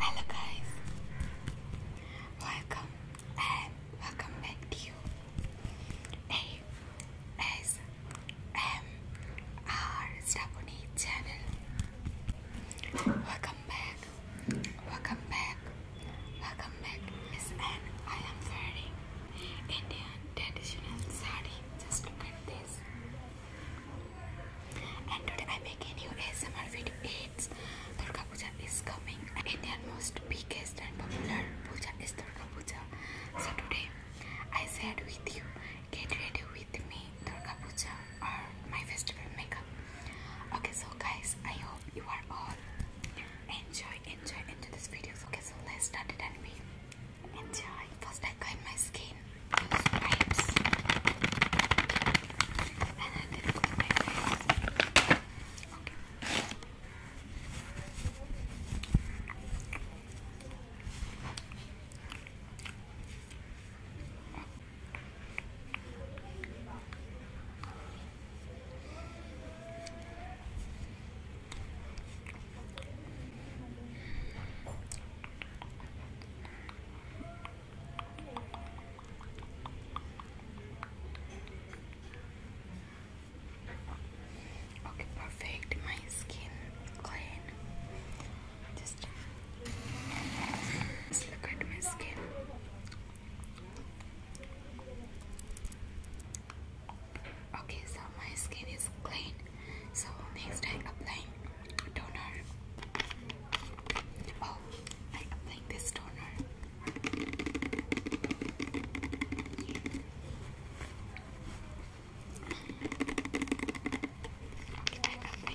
Hello guys, welcome and welcome back to you. Hey, S M R channel. Welcome back. Welcome back. Welcome back, Miss Anne. am wearing Indian traditional sari. Just look at this. And today I make a ASMR video. It's Durga Puja is coming. Indian most biggest and popular puja is Durga Puja. So today I said with you, get ready with me, Durga Puja or my festival makeup. Okay, so guys, I hope you are all enjoy, enjoy, enjoy this video. Okay, so let's start it and we enjoy. First, I cut my skin, Okay. Okay, perfect. My skin clean. Just, look at my skin. Okay, so my skin is clean. So next I apply toner. Oh, I apply this toner. I apply my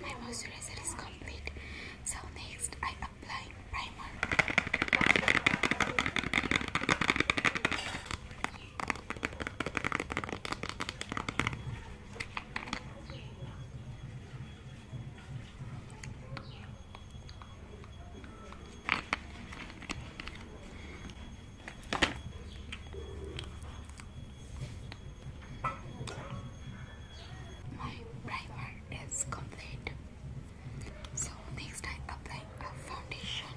My moisturizer is complete. So next I apply primer. My primer is complete. So next I apply a foundation.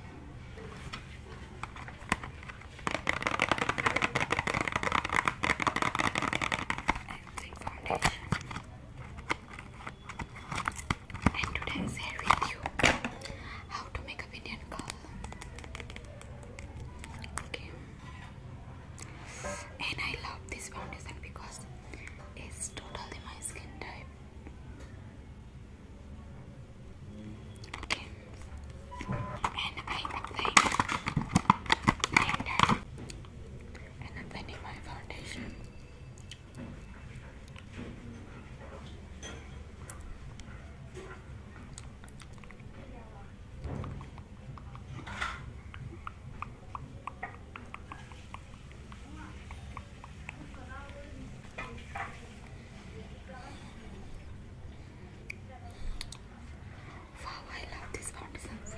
And foundation and today I share with you how to make a Indian curl. Okay, and I love this foundation because it's totally my skin type. Okay, and I apply blender and applying my foundation. Wow, I love this fountain set.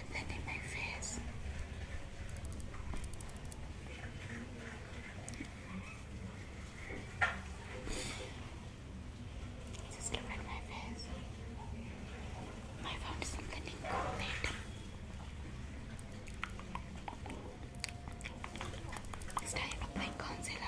put them in Just look at my face. I found something incognito. It's time to apply concealer.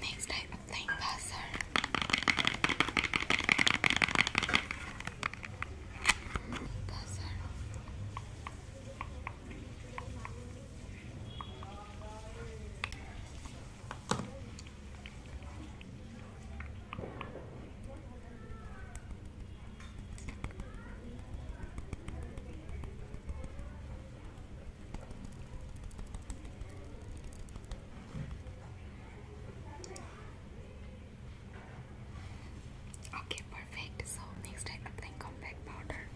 Next type of thing, buzzer. Buzzer. Okay, perfect. So next I apply compact powder.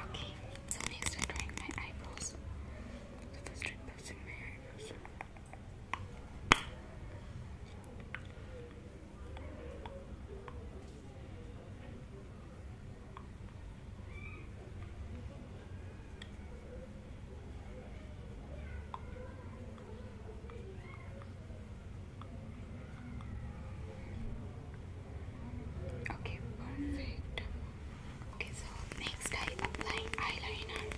Okay, so next we're drawing my eyebrows. So first I'm passing my eyebrows. Okay, perfect. Okay, so next I apply eyeliner.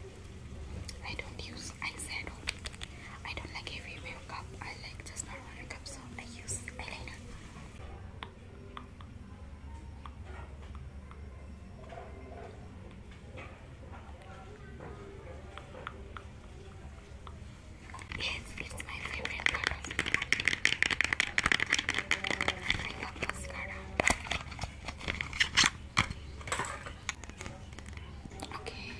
I don't use eyeshadow. I don't like heavy makeup. I like just normal makeup, so I use eyeliner. Yes, it's my favorite product. I love mascara. Okay.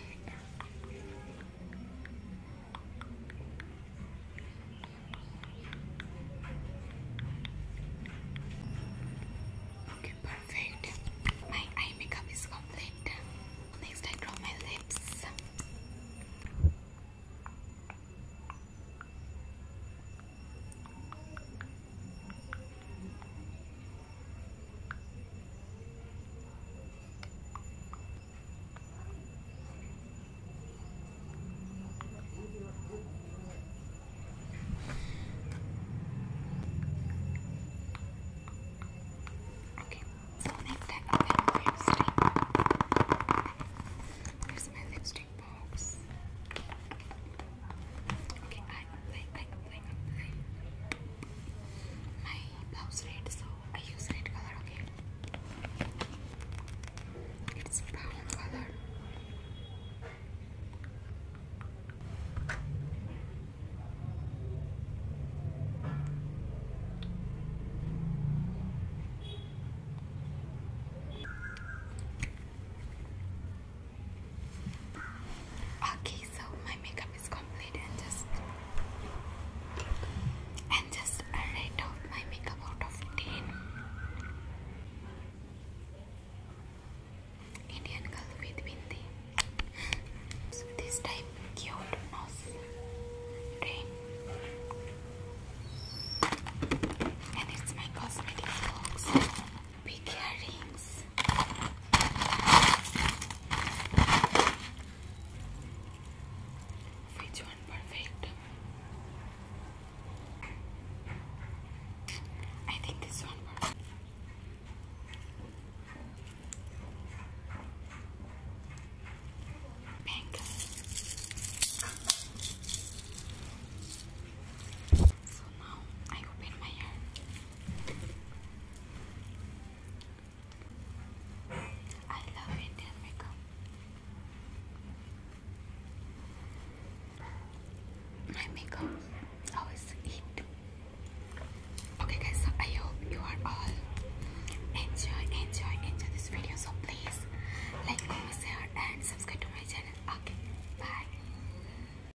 Okay, perfect. My eye makeup is complete. Next, I draw my lips. Okay, so make that a bit my lipstick box. Okay, I apply, I apply, I apply my blouse red, so I use red color, okay? It's brown color. Okay, so my makeup and just and just a rate out my makeup out of 10 Indian girl with bindi this type cute nose and it's my cosmetic box big earrings this. Which one perfect? I think this one perfect. Pink. So now I open my hair. I love Indian makeup. My makeup always hit. Okay guys, so I hope you are all enjoy, enjoy, enjoy this video. So please like, comment, share and subscribe to my channel. Okay, bye.